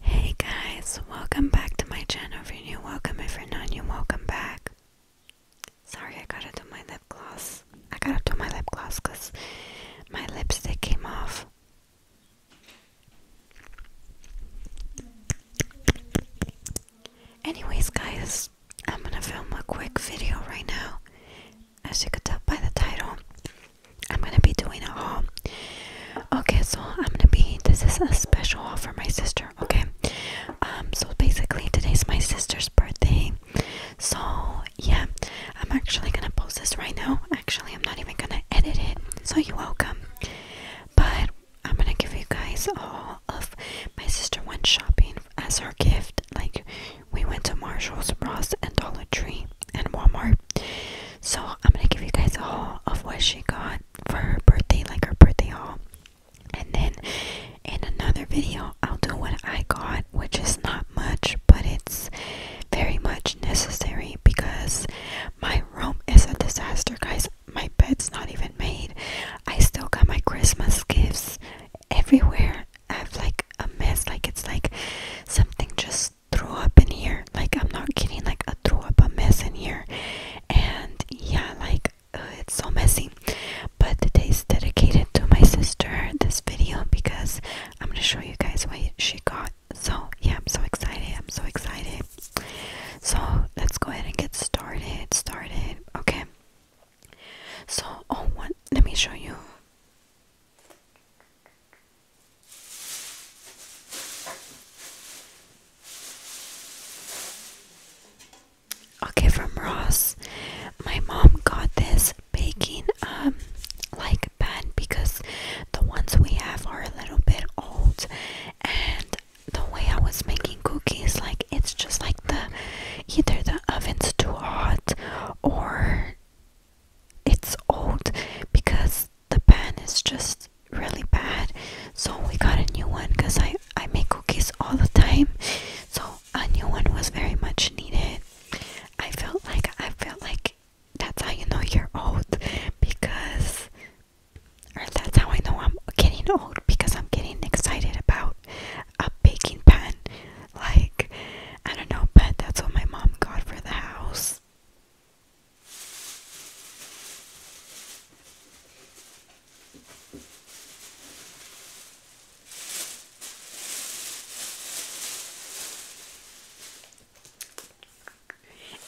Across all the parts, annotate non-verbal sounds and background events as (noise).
Hey guys, welcome back to my channel. If you're new, welcome. If you're not new, welcome back. Sorry, I gotta do my lip gloss. I gotta do my lip gloss because my lipstick came off. Anyways, guys, I'm gonna film a quick video right now. As you could tell by the title, I'm gonna be doing a haul. Okay, so I'm gonna be this is a special haul for my sister, okay? Um, so basically today's my sister's birthday. So yeah, I'm actually gonna post this right now. Actually, I'm not even gonna edit it, so you're welcome. But I'm gonna give you guys all of my sister went shopping as her gift. Like we went to Marshall's, Ross, and Dollar Tree, and Walmart. So I'm gonna give you guys a haul of what she got for her birthday, like her birthday haul. And then in another video, I'll do what I got, which is not much, but it's very much necessary because my room is a disaster, guys. My bed's not even made. I still got my Christmas gifts everywhere. I have like a mess, like it's like something just throw up in here. Like, I'm not kidding, like, I threw up a mess in here. And yeah, like, uh, it's so messy. But today's dedicated to my sister, this video, because I'm gonna show you guys what she got. So, yeah, I'm so excited. I'm so excited. So, let's go ahead and get started. Started, okay. So, oh, one, let me show you. Okay, from Ross. My mom got this baking um like pan because the ones we have are a little bit old and the way I was making cookies like it's just like the either the oven's too hot or it's old because the pan is just really bad so we got a new one because I, I make cookies all the time so a new one was very much needed I felt like I felt like that's how you know you're old because or that's how I know I'm getting old because I'm getting excited about a baking pan like I don't know but that's what my mom got for the house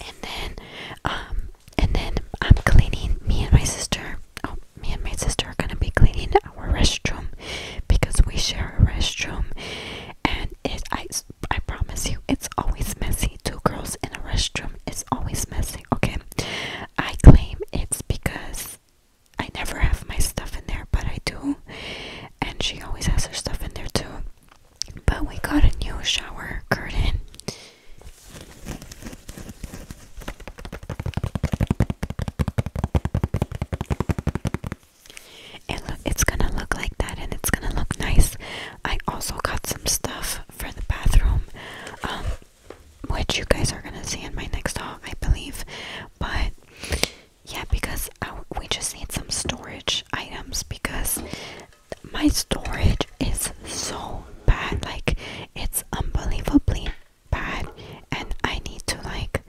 and then, um, and then I'm cleaning. Me and my sister. Oh, me and my sister are gonna be cleaning our restroom because we share a restroom, and it's I I promise you, it's always messy. Two girls in a restroom is always messy, okay? I claim it's because I never have my stuff in there, but I do. And she always has her stuff in there too. But we got a new shower curtain. It look, it's gonna look like that and it's gonna look nice. I also got some stuff for the bathroom, um, which you guys are gonna see in my next haul, I believe. But yeah, because we just need some storage items because my storage is so bad. Like, it's unbelievably bad, and I need to like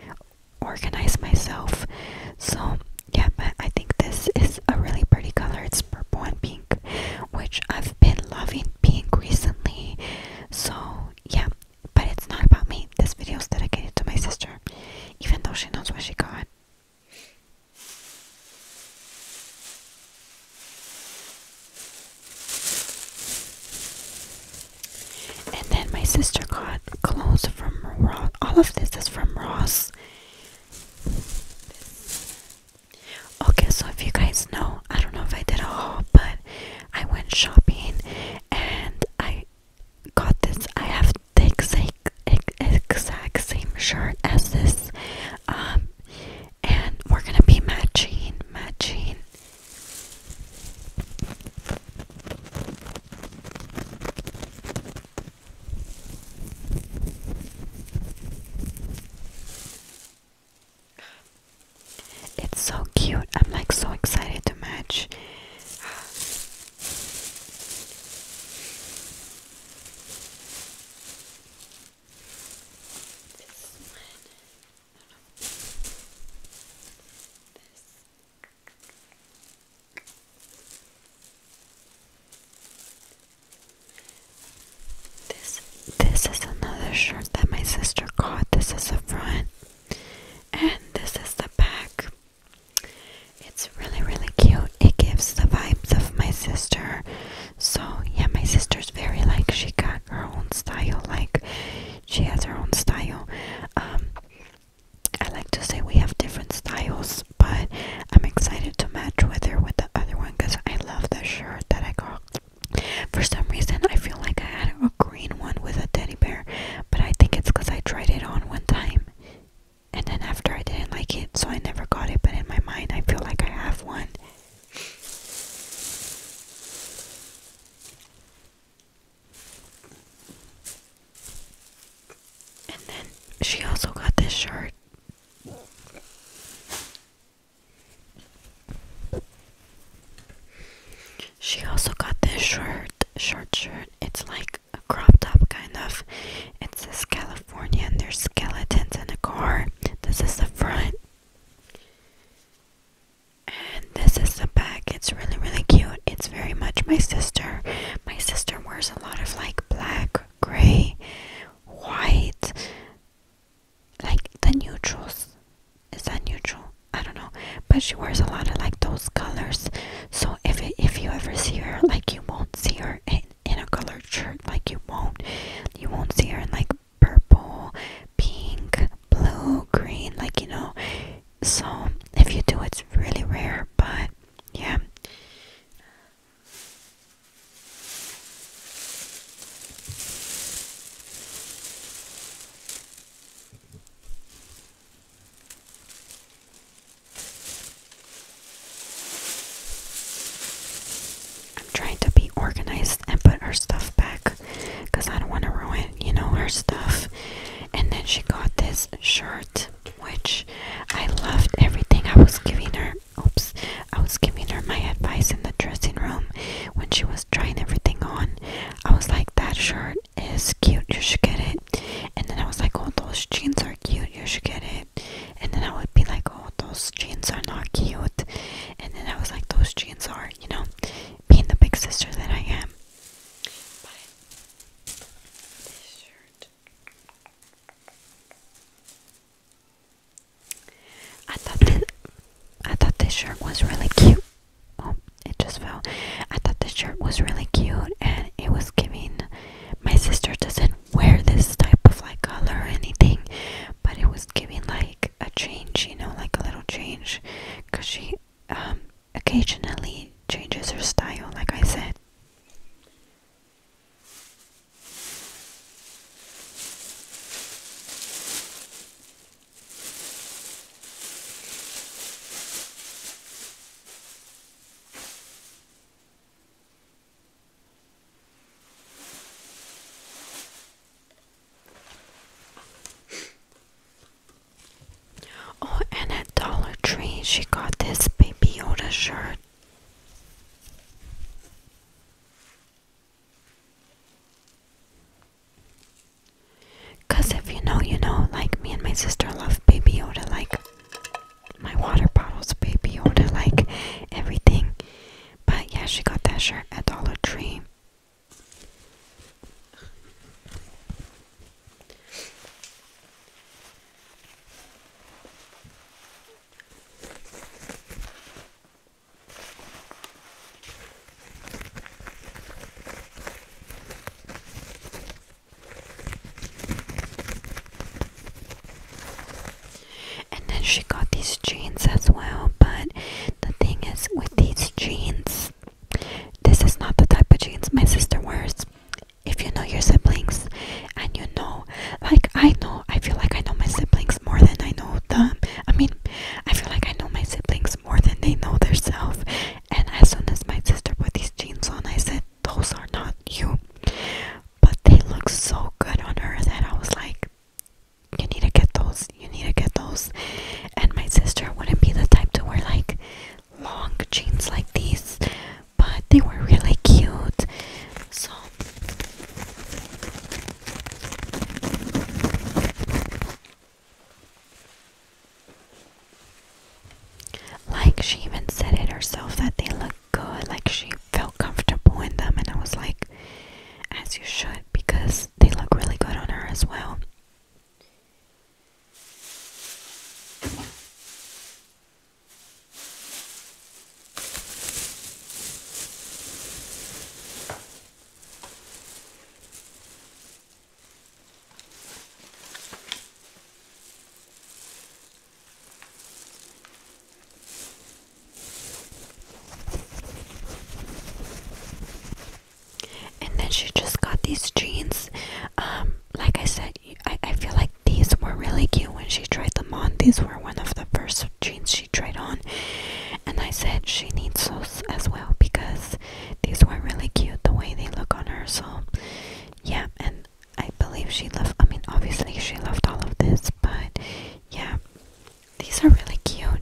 organize myself. So yeah, but I think this is a really pretty color. It's purple and pink, which I've been loving pink recently. So, yeah, but it's not about me. This video is dedicated to my sister, even though she knows where she got. And then my sister got clothes from Ross. All of this is from Ross. Okay, so if you guys know, I don't know if I did a haul, but I went shopping and I got this. I have the exact, exact same shirt as this, um, and we're gonna be matching, matching. It's so cute. I'm like so excited to match. This this is another shirt that my sister got. This is the front and this is the back. It's really really cute. It gives the vibes of my sister. So yeah, my sister's very like she got her own style, like she has her own style. Um I like to say we have different styles, but I'm excited to match with her with the other one because I love the shirt that I got. For some reason, I feel like I had a green one with a teddy bear, but I think it's because I tried it on one time and then after I didn't like it, so I never got it. But in my mind, I feel like I have one. And then she also got this shirt. She also got this shirt, short shirt. It's like a crop top kind of. It says California and there's skeletons in the car. This is the front. And this is the back. It's really, really cute. It's very much my sister. My sister wears a a lot of like black, gray, white, like the neutrals. Is that neutral? I don't know. But she wears a lot of like those colors. So if if you ever see her, like you won't see her in, in a colored shirt. Like you won't you won't see her in like purple, pink, blue, green. Like you know. So if you do, it's really rare. But yeah. I'm trying to be organized and put her stuff back because I don't want to ruin, you know, her stuff. And then she got this shirt which I loved everything I was giving her. Oops, I was giving her my advice in the dressing room when she was trying everything on. I was like, that shirt is cute, you should get it. And then I was like, oh, those jeans are cute, you should get it. And then I would be like, oh, those jeans are not cute. And then I was like, those jeans are, you know, being the big sister that I am. I thought this, I thought this shirt was really cute. Oh, it just fell. I thought this shirt was really cute, and it was giving. My sister doesn't wear this type of like color or anything, but it was giving like a change, you know, like a little change, cause she um occasionally changes her style, like I said. Oh, and at Dollar Tree, she got this Baby Yoda shirt. Cause if you know, you know, like me and my sister love Baby Yoda, like my water bottles, Baby Yoda, like everything. But yeah, she got that shirt at Dollar Tree. And then she got these jeans as well, but the thing is with these jeans, this is not the type of jeans my sister wears if you know your siblings and you know like I know I feel like I know my siblings more than I know them I mean I feel like I know my siblings more than they know themselves and as soon as my sister put these jeans on I said those are not you but they look so good on her that I was like you need to get those you need to get those and my sister wouldn't be the type to wear like long jeans like these but they were really cute. So like she even said it herself that they look good, like she felt comfortable in them and I was like as you should because they look really good on her as well. And then she just got these jeans. Um, like I said, I, I feel like these were really cute when she tried them on. These were one of the first jeans she tried on. And I said she needs those as well because these were really cute the way they look on her. So, yeah, and I believe she loved, I mean, obviously she loved all of this, but yeah, these are really cute.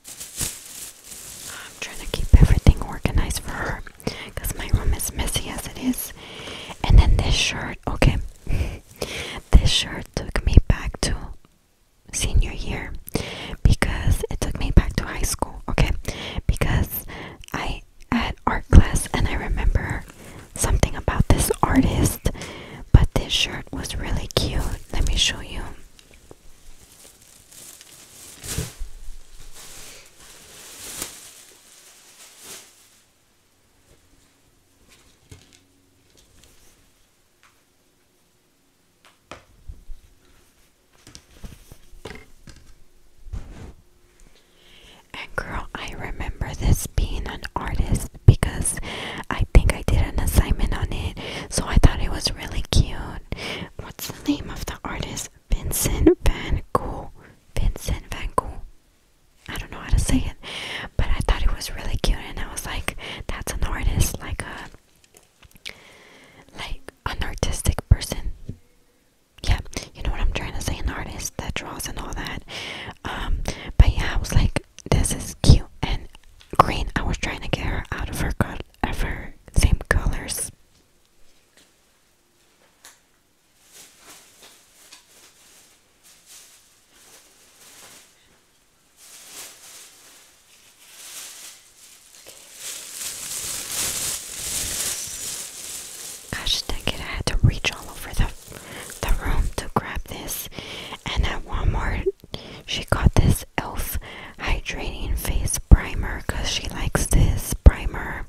I'm trying to keep everything organized for her because my room is messy as it is. And then this shirt, okay, (laughs) this shirt took me back to senior year because it took me back to high school, okay, because I had art class and I remember something about this artist, but this shirt was really cute. Let me show you. And girl, I remember this being an artist because I think I did an assignment on it, so I thought it was really cute. What's the name of the artist? Vincent Van Gogh. Vincent Van Gogh. I don't know how to say it, but I thought it was really cute, and I was like, "That's an artist, like a, like an artistic person." Yeah, you know what I'm trying to say—an artist that draws and all that. Um, but yeah, I was like, "This is cute and green." I was trying to get her out of her ever same colors. Gosh dang it, I had to reach all over the the room to grab this. And then one she got this e.l.f. hydrating face primer because she likes this primer.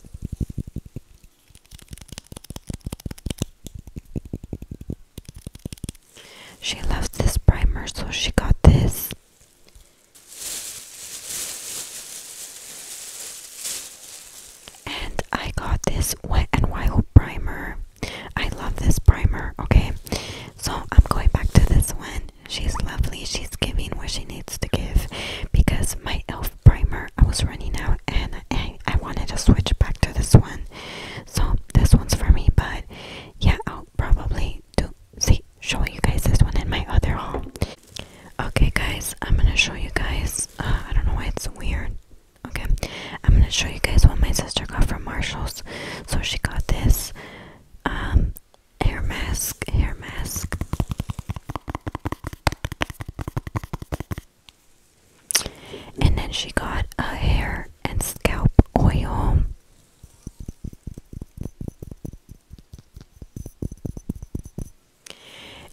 She loves this primer, so she got this. And I got this Wet and Wild primer. I love this primer, okay? So I'm going back to this one. She's lovely. She's giving what she needs to give. Because my elf primer, I was running out and I, wanted to switch back to this one. So this one's for me. But yeah, I'll probably do see show you guys this one in my other haul. Okay guys, I'm gonna show you guys uh, I don't know why it's weird. Okay. I'm gonna show you guys what my sister got from Marshalls. So she got this um hair mask, hair mask. And then she got a hair and scalp oil.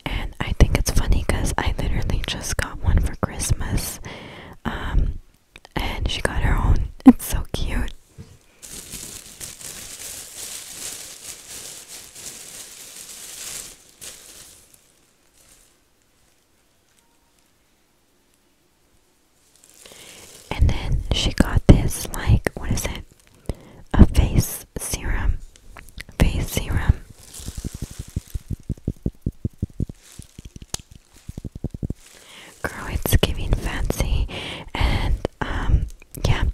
And I think it's funny because I literally just got one for Christmas. Um, and she got her own. It's so cute. And then she got this, like, what is it? A face serum. Face serum. Girl, it's giving fancy, and um, yeah,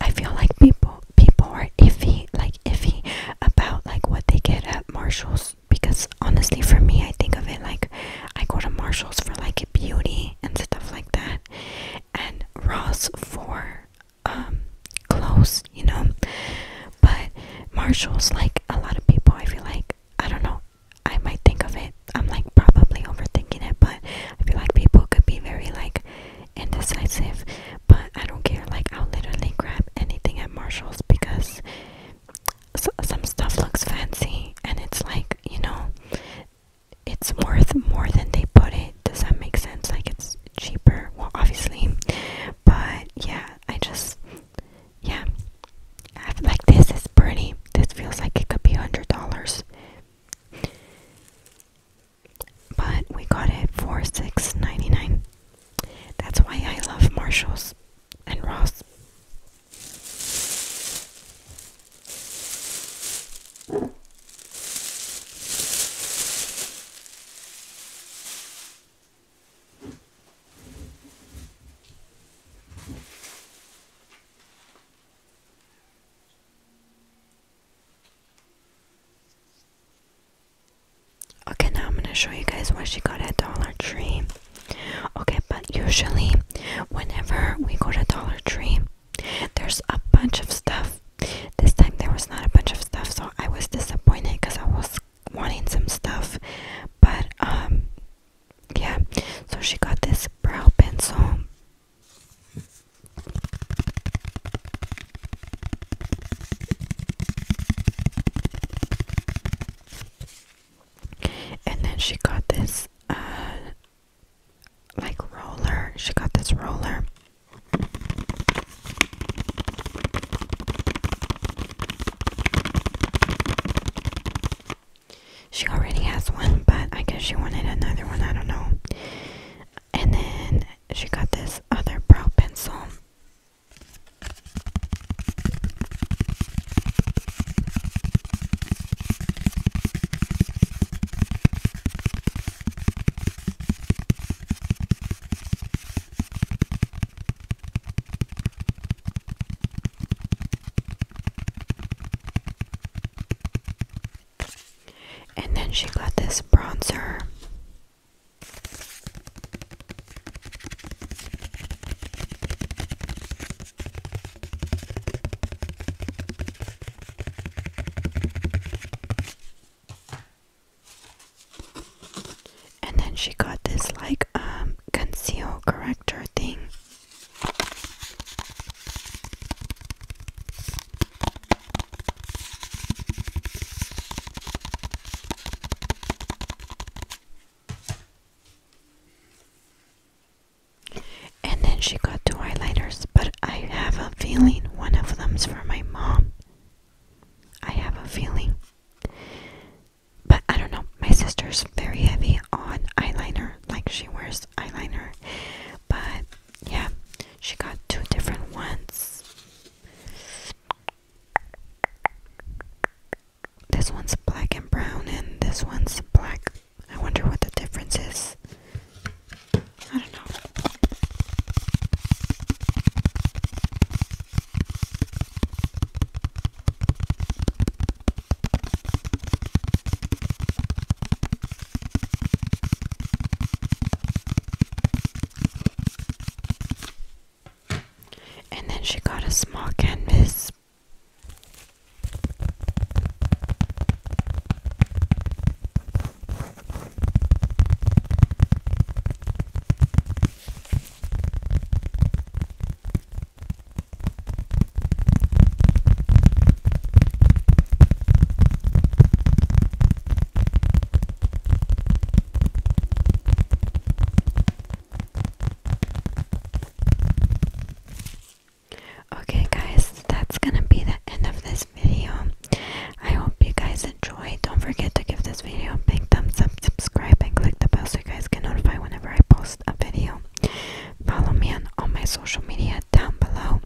I feel like people people are iffy, like iffy about like what they get at Marshalls because honestly, for me, I think of it like I go to Marshalls for like beauty and stuff like that, and Ross for um clothes, you know. But Marshalls, like a lot of people, I feel like I don't know. I might think of it. I'm like probably overthinking it, but I feel like people could be very like indecisive. But I don't care. Like I'll literally grab anything at Marshalls because so, some stuff looks fancy, and it's like you know, it's worth more than they put it. Does that make sense? Like it's cheaper. Well, obviously, but yeah, I just yeah, I feel like this is pretty. This feels like it could be $100. But we got it for six ninety nine. That's why I love Marshalls and Ross. Okay, now I'm gonna show you guys what she got at Dollar Tree. Okay, but usually, whenever we go to Dollar Tree, there's a bunch of stuff. This time there was not a bunch of stuff, so I was disappointed because I was wanting some stuff. But um, yeah so she got this brow pencil and then she got this uh, like roller she got this roller she already has one, but I guess she wanted another one, I don't know. And then she got this other brow pencil. And then she got this bronzer. And then she got this like um conceal corrector thing. And then she got two highlighters, but I have a feeling one of them's for my mom. I have a feeling. But I don't know, my sister's very heavy on eyeliner, like she wears eyeliner. But yeah, she got two different ones. This one's black and brown, and this one's black. I wonder what the difference is. I don't know. And then she got a small canvas. Okay, guys, that's gonna be the end of this video. I hope you guys enjoyed. Don't forget to give this video a big thumbs up, subscribe, and click the bell so you guys get notified whenever I post a video follow me on all my social media down below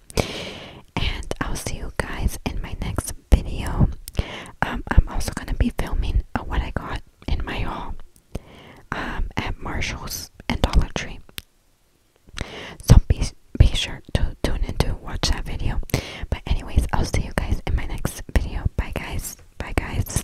and I'll see you guys in my next video um, I'm also gonna be filming uh, what I got in my haul um, at Marshall's and Dollar Tree so be, be sure to tune in to watch that video but anyways I'll see you guys in my next video bye guys bye guys